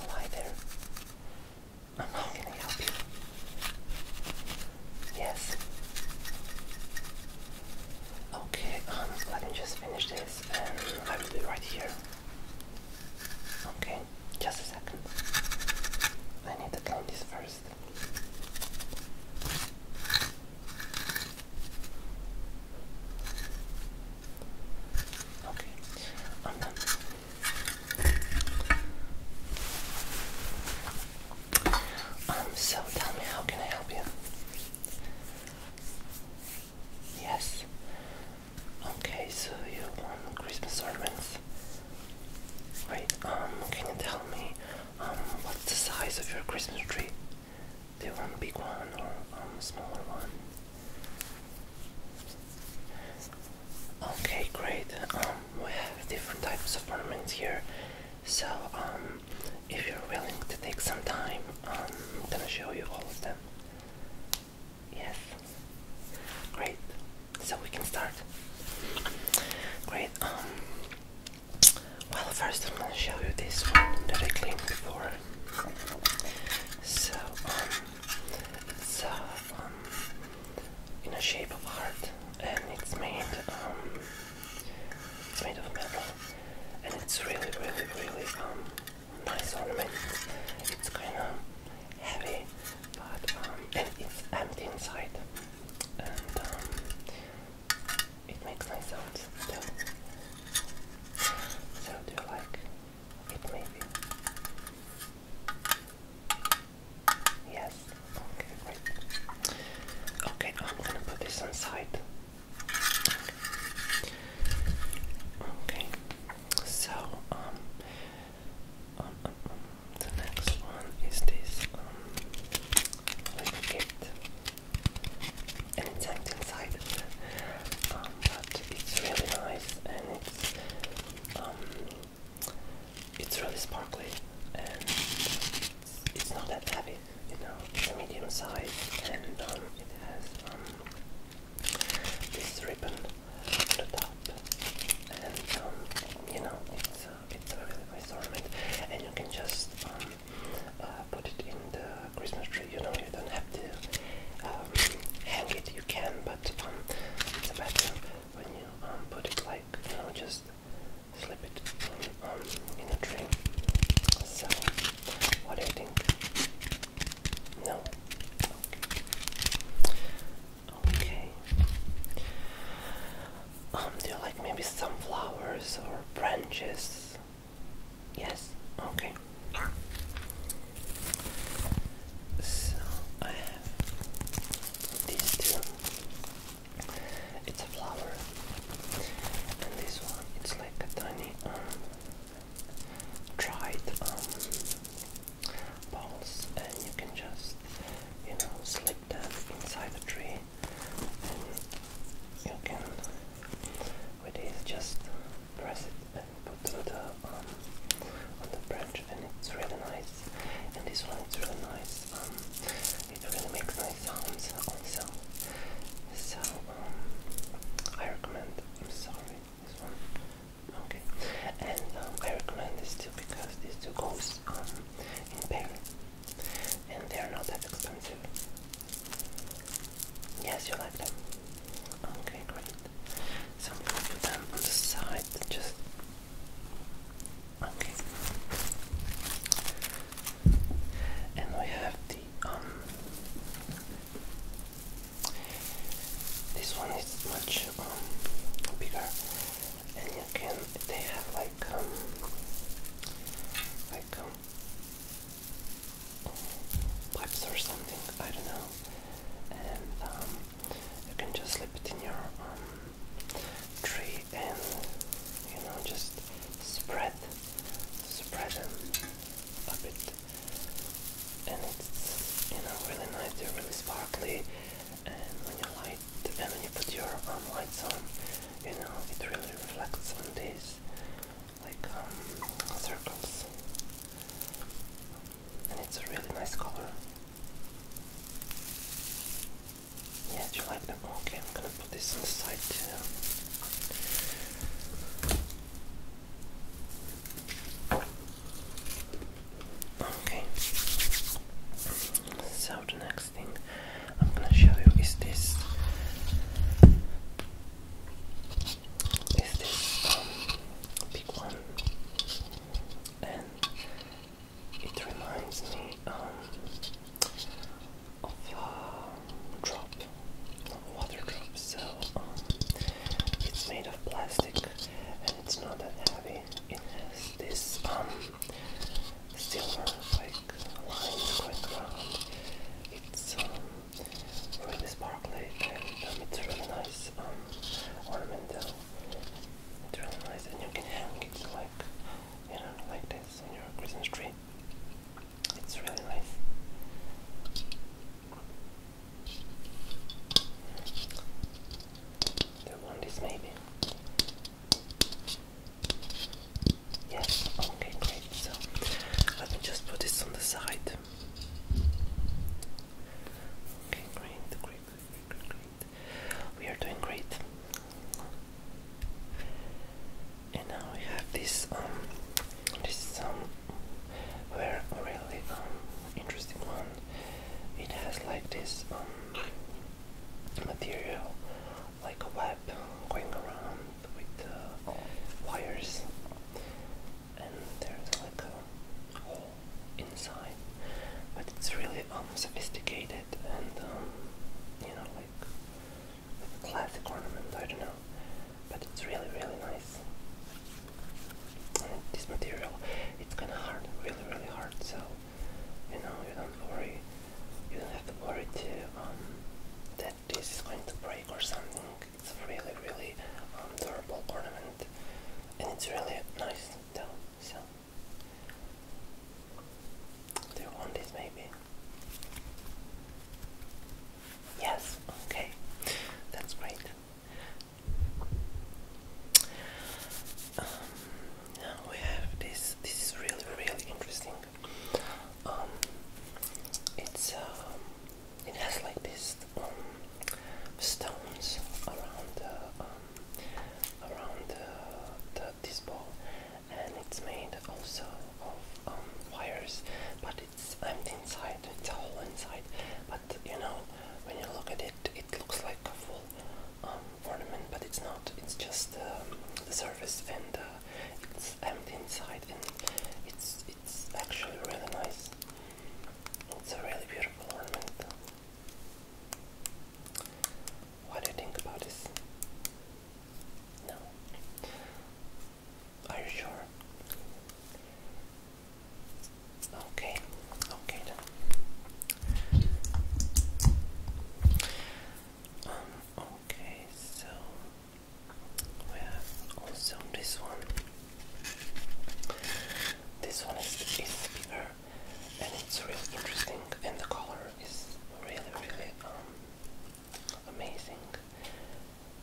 Oh, hi there. Um, how can I help you? Yes. Okay, um, let me just finish this and I will be right here. Okay, just a second. I need to clean this first. Okay, I'm Um, so tell me, how can I help you? Yes. Okay, so you want Christmas ornaments. Wait. Um, can you tell me, um, what's the size of your Christmas tree? do on the big one or on um, smaller one. Okay, great. Um, we have different types of ornaments here, so um, if you're willing to take some time, um, I'm gonna show you all of them. Yes. Great. So we can start. Great. Um, well, first I'm gonna show you this one that I cleaned before. So, um, uh, um, in a shape of heart, and it's made, um, made of metal, and it's really, really, really, um, nice ornament. It's kind of heavy, but um, and it's empty inside, um, it makes nice sounds too. So do you like it maybe? Yes. Okay, great. Okay, I'm gonna put this on Okay. So um, um, um, um, the next one is this um little and it's hanged inside um, but it's really nice and it's um, it's really sparkly and it's, it's not that heavy, you know, it's a medium size and um, it has um, this ribbon on the top and um, you know, it's, uh, it's really nice ornament and you can just um, uh, put it in the Christmas tree. You know, you don't have to uh, hang it. You can, but um, it's better when you um, put it like you know, just slip it in, um, a tree. So, what do you think? No. Okay. Um, do you like maybe some flowers or branches? Yes. Okay. So I have these two. It's a flower, and this one it's like a tiny um, dried um, balls, and you can just you know slip them inside the tree, and you can which is just press it and put on the, on the branch and it's really nice and this one is really nice, um, it really makes nice sounds also so um, I recommend, I'm sorry, this one okay, and um, I recommend this too because these two goes um, in pair and they are not that expensive Yes, you like them. Okay, great. So put them on the side, just okay. And we have the um. This one is much um, bigger, and you can. They have like um, like um, pipes or something, I don't know. And um, you can just slip it in your um, tree and you know just spread, spread them a bit. And it's you know really nice. They're really sparkly. And when you light and when you put your um, lights on, you know it really reflects on these like um, circles, and it's a really nice color. Yeah, do you like them? Okay, I'm gonna put this inside too. Okay, so next. I'm gonna show you is this. Is this um, big one? And it reminds me um, of a drop, a water drop. So um, it's made of plastic and it's not that heavy. It this silver like lines going around. It's um, really sparkly and um, it's really nice um, ornamental. It's really nice and you can hang it like, you know, like this on your Christmas tree. It's really nice. They want this maybe. Yes, okay, great. So let me just put this on the side. Okay, great, great, great, We are doing great. And now we have this um this um where really um, interesting one. It has like this um, material like a web going around with uh, wires, and there's like a hole inside, but it's really unsophisticated um, and um, you know like a classic ornament. I don't know, but it's really really nice. this material, it's kind of hard, really really hard. So you know you don't worry, you don't have to worry to um, this is going to break or something. It's a really, really um, durable ornament, and it's really nice though. So, do you want this maybe? Yes. Okay, that's great. Um, now we have this. This is really, really interesting. Um, it's um, it has like this um, stones around around the, the this ball, and it's made also of wires, but it's empty inside. It's a hole inside, but you know when you look at it, it looks like a full ornament, but it's not. It's just the surface and it's empty inside and it's it's actually really nice. It's a really beautiful ornament. What do you think about this? No. Are you sure? Okay, okay then. Um, okay, so we have also this one. This one is, is bigger and it's really interesting, and the color is really, really um, amazing.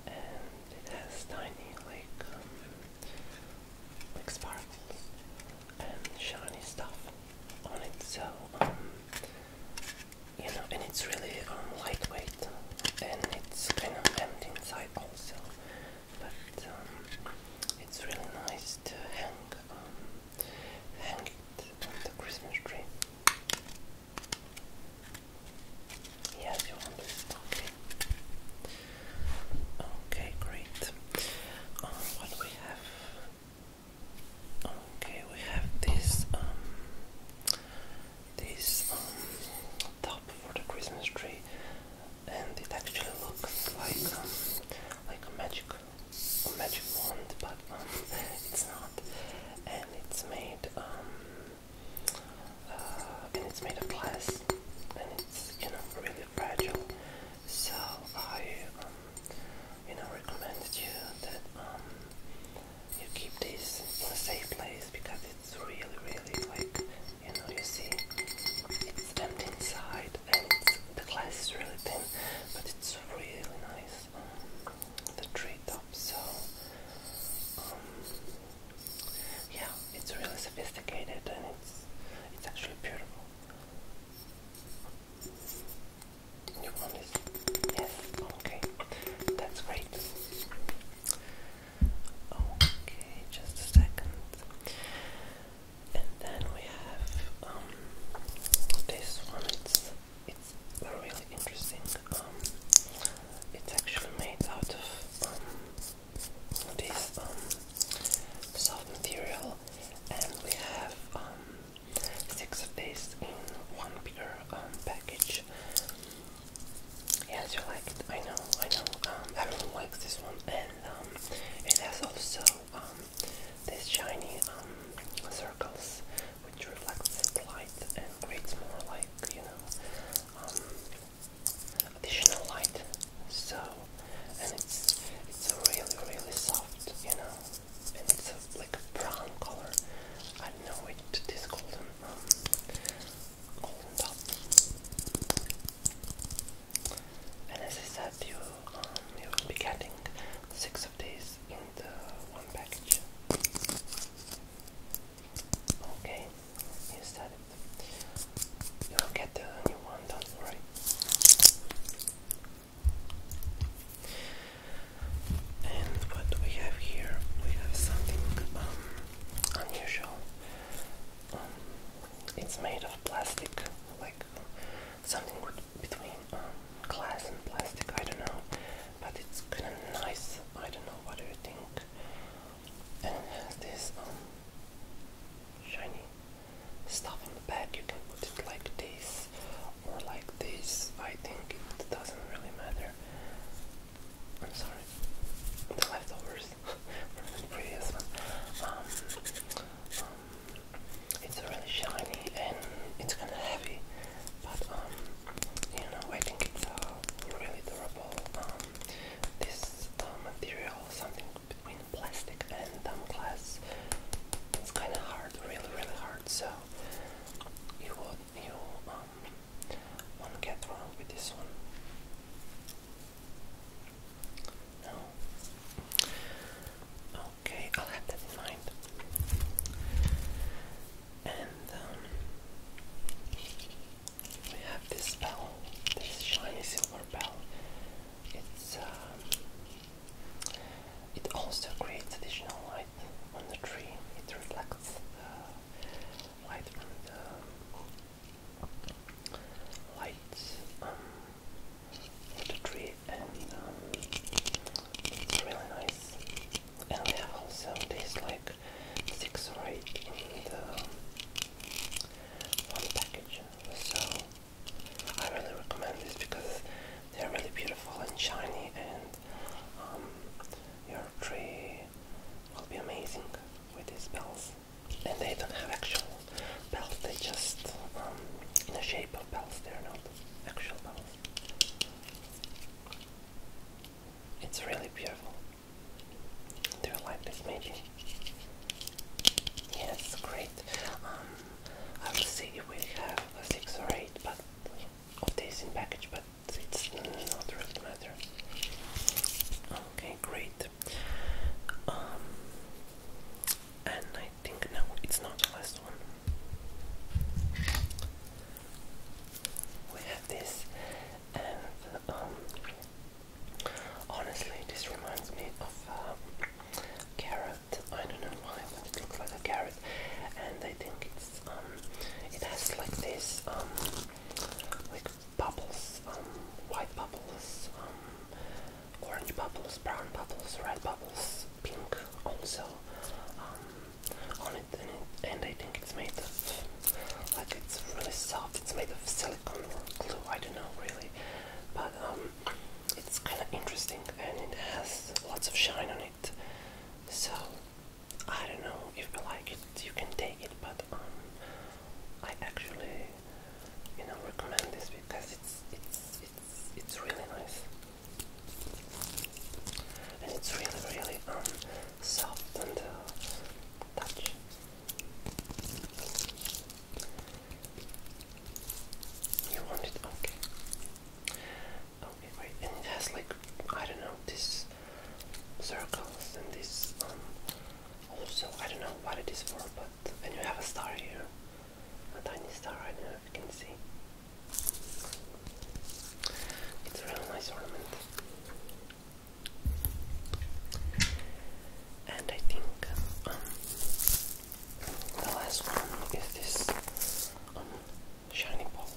And it has tiny, like, um, like sparkles and shiny stuff on it, so um, you know, and it's really um, lightweight and it's kind of empty inside also, but um, it's really nice to hang, um, hang it on the Christmas tree. Yes, you want this? Okay. Okay, great. Um, what do we have? Okay, we have this um this um, top for the Christmas tree and it actually looks like um like a magic a magic wand but um it's not and it's made um uh, and it's made of glass and it's you know really fragile so I um, you know recommended you that um, you keep this in a safe place because it's really really like you know you see it's empty inside and the glass is really thin but it's really nice um, the tree top so um, yeah it's really sophisticated and it's it's actually beautiful Yes. Okay. That's great. Okay, just a second. And then we have um, this one. It's it's really interesting. Um, it's actually made out of um, this um, soft material, and we have um, six of these in one bigger um, package. Yes, you like it. I know, I know. Um, everyone likes this one, and um, it has also um, shiny circles which reflects the light and creates more like you know additional light. So, and it's it's really really soft, you know and it's like a brown color. I know it. This golden, um, golden top. And as I said, you um, you will be getting six of these in the one package. Okay, you You will get the new one, don't worry. And what we have here, we have something um, unusual. Um, it's made of plastic, like something between um, glass and plastic, I don't know. But it's kind of nice, I don't know, what do you think? And it has this shiny stuff in the bag. you can put it like this or like this, I think it doesn't really matter. I'm sorry, the leftovers previous one. Um, um, it's really shiny and it's kind of heavy, but um, you know, I think it's uh, really durable. this uh, material, something between plastic and glass, it's kind of hard, really, really hard. So you will not um, get wrong with this one. No. Okay, I'll have that in mind. And um, we have this bell, this shiny silver bell. It's um, it also creates additional on the tree, it reflects the light uh, from the light on um, um, the tree and um, it's really nice. And we have also these like six or eight in the one um, package. So I really recommend this because they're really beautiful and shiny, and um, your tree will be amazing with these bells. And they don't have actual bells, they just um, in the shape of bells, they're not actual bells. It's really beautiful. Do you like this magic? Yes, great. Um, I will see if we have a six or eight, but of this in package, but it's not really matter. Okay, great. Um, and I think no, it's not the last one. We have this, and um, honestly, this reminds me of um, I don't know why, but it looks like a carrot. And I think it's um, it has like this um, like bubbles, um, white bubbles, um, orange bubbles, brown bubbles, red bubbles, pink also um, on and, it, and I think it's made of like it's really soft. It's made of silicone or glue. I don't know really, but um, it's kind of interesting and it has lots of shine on it. So I don't know if you like it, you can take it, but um, I actually, you know, recommend this because it's it's it's it's really nice, and it's really really um soft and uh, touch. You want it? Okay. Okay, right, and it has like I don't know this circles and this um, also I don't know what it is for, but and you have a star here, a tiny star. I don't know if you can see. It's a really nice ornament. And I think um, the last one is this shiny ball.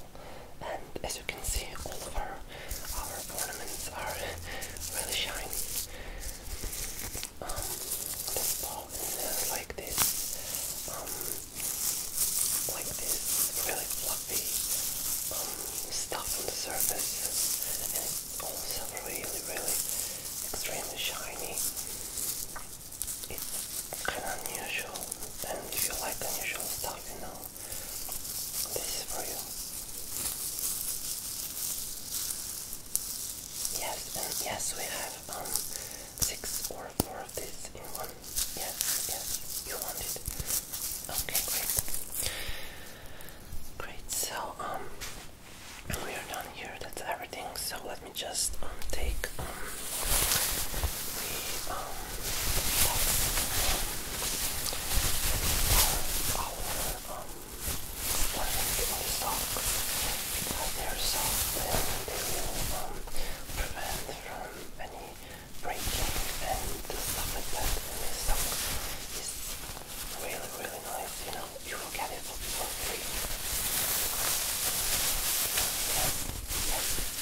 And as you can see, all of our, our ornaments are really shiny. Um, this ball is like this, um, like this really fluffy um, stuff on the surface, and it's also really, really extremely shiny it's kind unusual, and if you like unusual stuff, you know, this is for you. Yes, and yes, we have um six or four of these in one. Yes, yes, you want it. Okay, great. Great. So um, we are done here. That's everything. So let let me just take um the um our, um one socks they're soft and they will um prevent from any breaking and stuff like that and this sock is really really nice you know you will get it Yes, yes,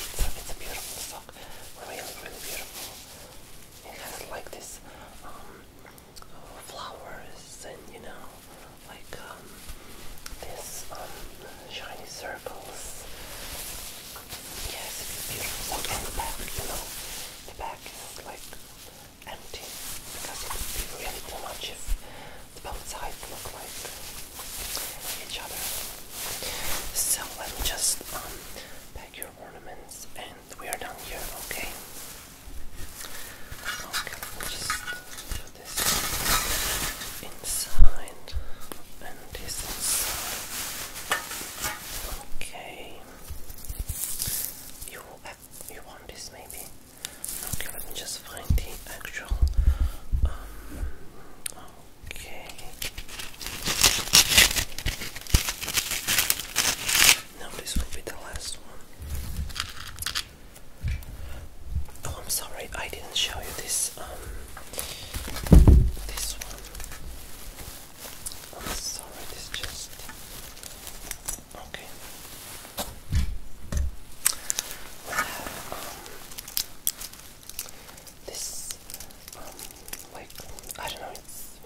it's a, it's a beautiful sock. Really, really beautiful. It has like this flowers and you know, like this shiny circles. Yes, it's a beautiful sock. And the back, you know, the back is like empty because it would be really too much if both sides look like each other. So let me just um, pack your ornaments and we are done here, okay? Okay, let me just put this inside and this inside. Okay. You, have, uh, you want this maybe? Okay, let me just find the actual. Um, okay. Now this will be the last one. Oh, I'm sorry, I didn't show you this. Um, this one. I'm sorry, this just. Okay. This, um, like, I don't know, it's,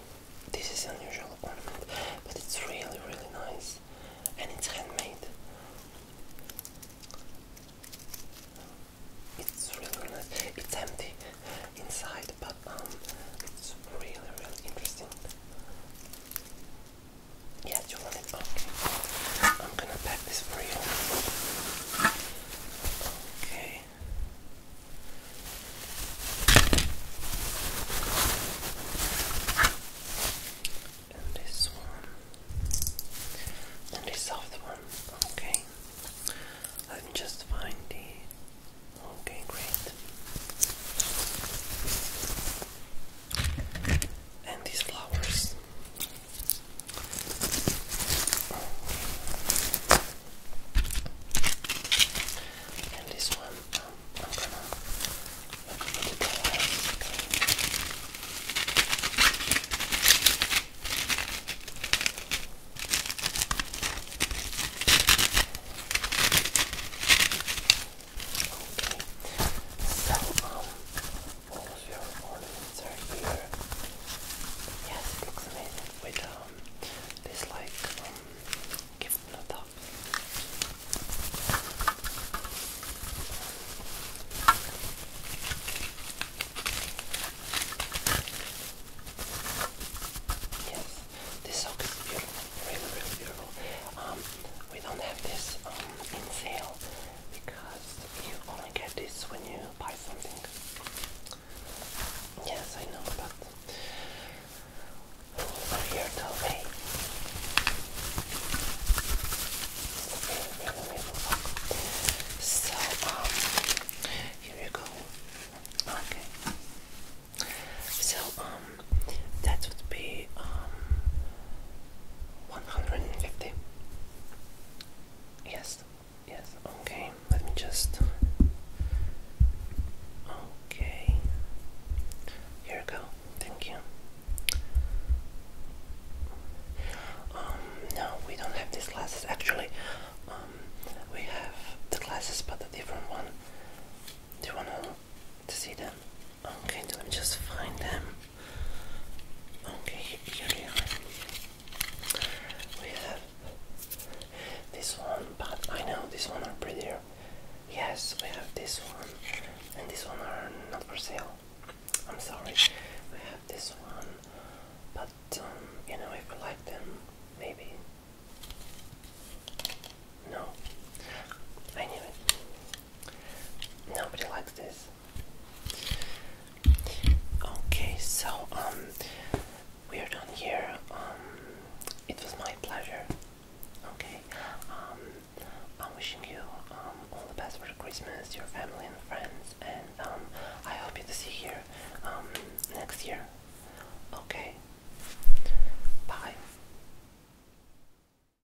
this is unusual ornament, but it's really, really nice, and it's handmade. It's really nice. It's empty inside, but um, it's really, really interesting. Yes, you want it? Okay. I'm gonna pack this for you. Okay. And this one. And this soft one. Okay. Let me just find the. Okay, great. And these flowers. And this one, um, I'm gonna look for the doors. Okay. So um, all of your ornaments are here. Yes, it looks amazing with um, this like um, gift on the top. Yes, this sock is beautiful, really, really beautiful. Um, we don't have this um, in sale, because you only get this when you buy something. Yes, I know, but here to so, um, here you go. Okay. So, um, that would be, um, 150. Yes, yes, okay. Let me just. Okay. Here we go. Thank you. Um, no, we don't have these glasses actually. Um, we have the glasses, but a different one. Do you want to see them? Okay, let me just find them. Okay, here they are. We have this one, but I know this one are prettier. Yes, we have this one, and this one are not for sale. I'm sorry. We have this one, but um, you know, if you like them, maybe. No, I knew it. Nobody likes this. Okay, so um, we are done here. Um, it was my pleasure. Okay, um, I'm wishing you um all the best for Christmas, your family and friends, and um, I hope you to see here um next year. Okay, bye.